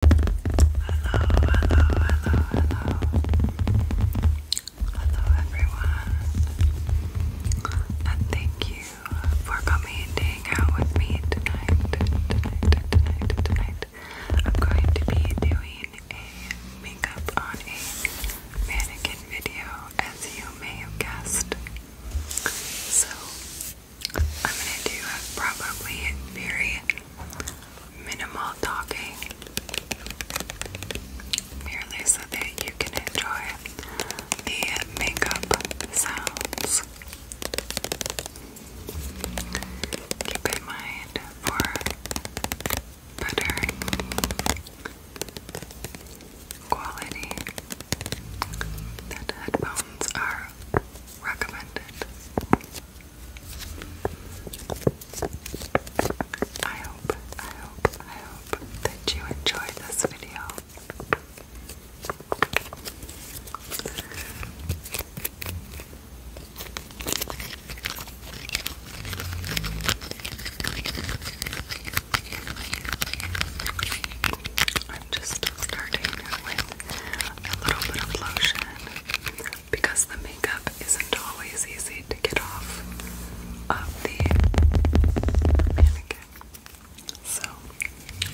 Hello, hello, hello, hello. Hello, everyone. And thank you for coming and hang out with me tonight. Tonight, tonight, tonight. I'm going to be doing a makeup on a mannequin video, as you may have guessed. So, I'm gonna do a probably very minimal talking, merely so that you can enjoy the makeup sounds. Keep in mind for better quality that headphones are recommended. I hope, I hope, I hope that you enjoyed this video. I'm just starting with a little bit of lotion because the makeup isn't always easy to get off of the mannequin. So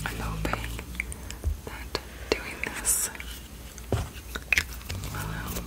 I'm hoping that doing this will help,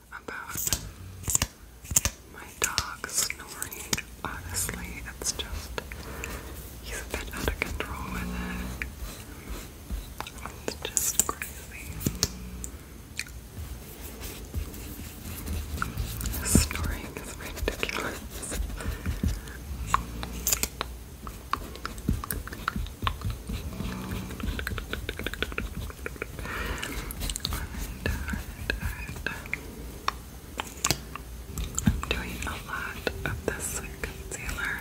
about my dog snoring. Honestly, it's just he's a bit out of control with it. It's just crazy. Snoring is ridiculous. Alright, alright, I'm doing a lot of this concealer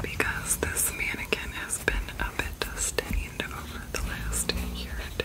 because this mannequin has been a bit stained over the last year or two.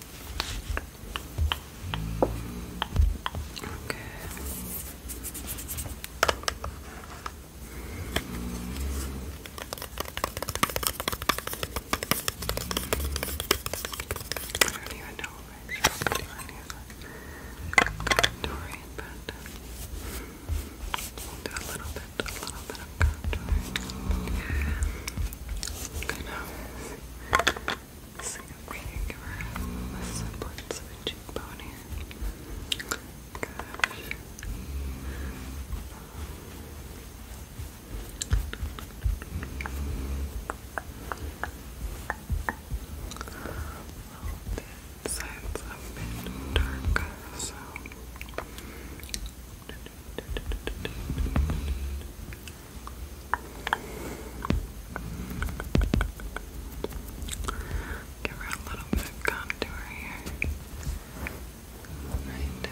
Okay. I don't even know if I should do any do a little bit kind of see if we can give her the semblance of a cheekbone here. Gosh. Side's a bit dark, so Give her a little bit of contour here. Right. Good.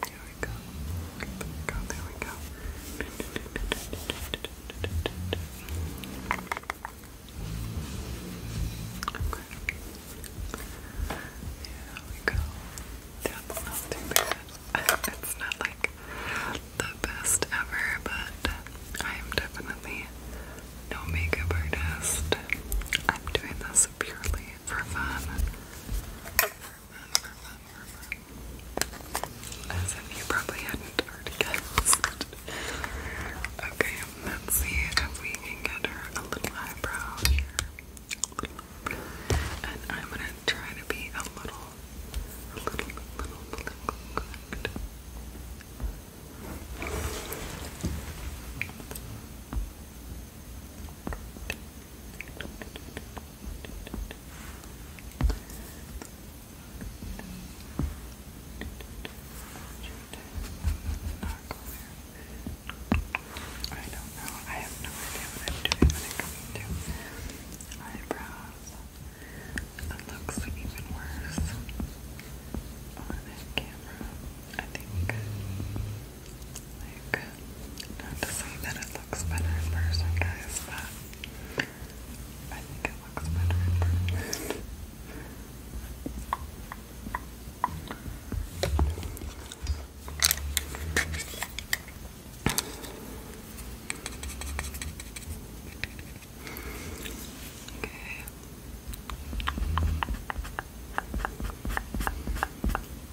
There we go. There we go. There we go. Okay. we go. That's not too bad. It's not like the best ever, but I am definitely no makeup artist. I'm doing this purely for fun. For fun, for fun, for fun. As if you probably hadn't already guessed. Okay, let's see if we can get her a little eyebrow here. And I'm gonna try to be a little, a little, a little political I don't know. I have no idea what I'm doing when it comes eyebrows. It looks even worse on camera. I think like, not to say that it looks better in person, guys, but I think it looks better in person. Okay.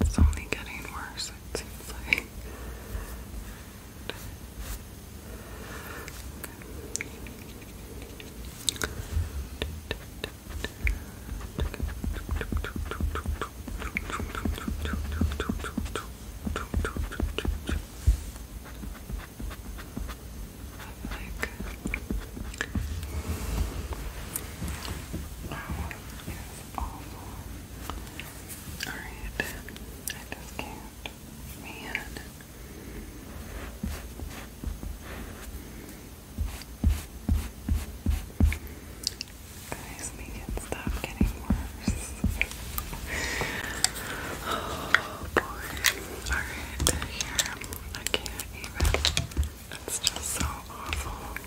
it's only getting worse, it seems like awful. Alright, I just can't. Man. Guys, we can stop getting worse. oh boy. Alright, here. I can't even. It's just so awful.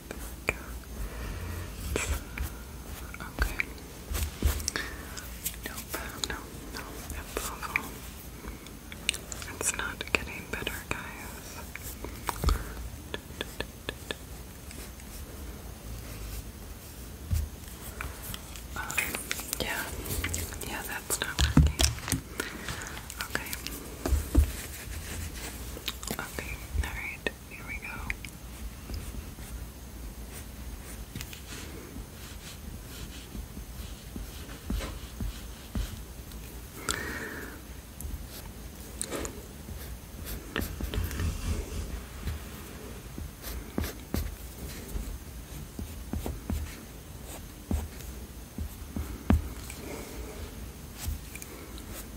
Okay. Nope, no, no, it's It's not getting better, guys. Um, yeah, yeah, that's not working. Okay. Okay, alright right, here we go.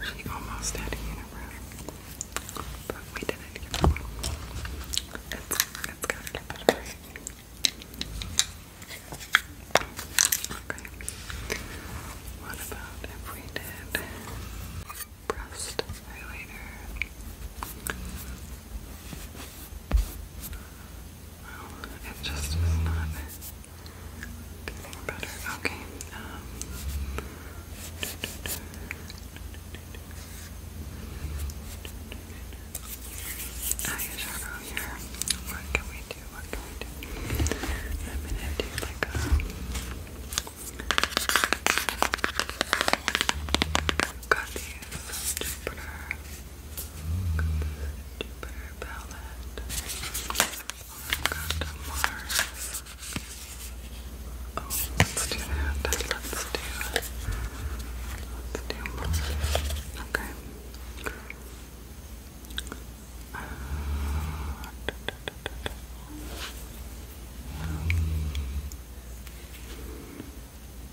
She almost had a unibrow, but we didn't get one. It's, it's gotta What about if we did breast highlighter? Well, it just is not getting better. Okay. Um, eyeshadow here. What can we do? What can we do? I'm gonna do like a. Got these Jupiter Deeper palette. let's do that. Let's do it. Let's do Mars. Okay.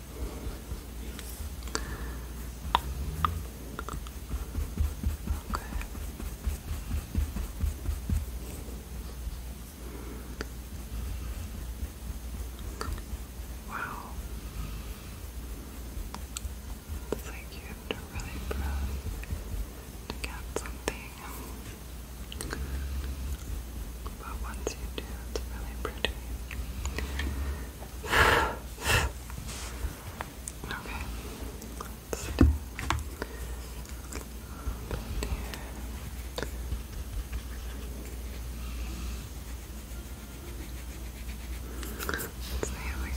Okay. Wow. It's like you have to really press to get something but once you do, it's really pretty. okay, let's see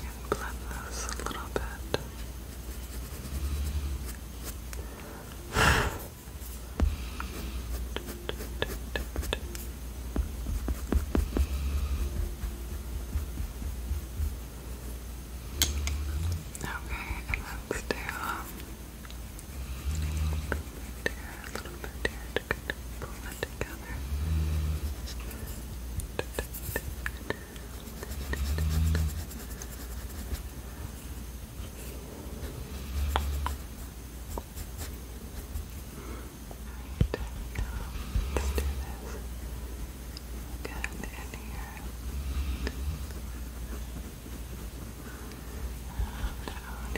if we can blend those a little bit. Okay, and let's do um, a little bit here, a little bit here to kind of pull it together. Okay, Alright, now let's do this again in here. And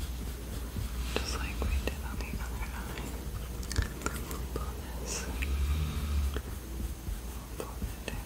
here. Just like we did on the other eye. pull this. pull it down.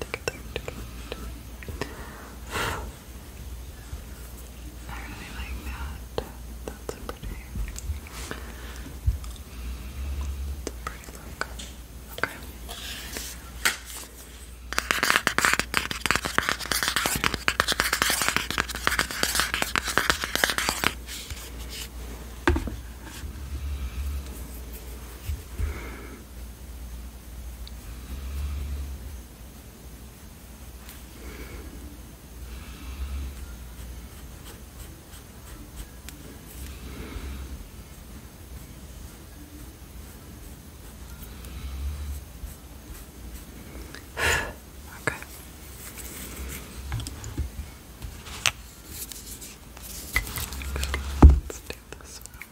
Take it I really like that. That's pretty, it's a pretty look. Okay okay. Let's do this one.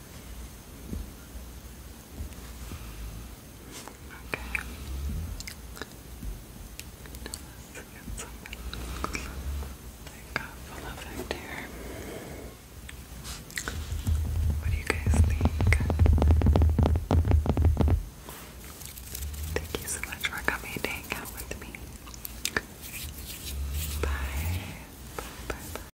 Okay. Now let's get some makeup effect here. What do you guys think? Thank you so much for coming to hang out with me. Bye. Bye. Bye. bye.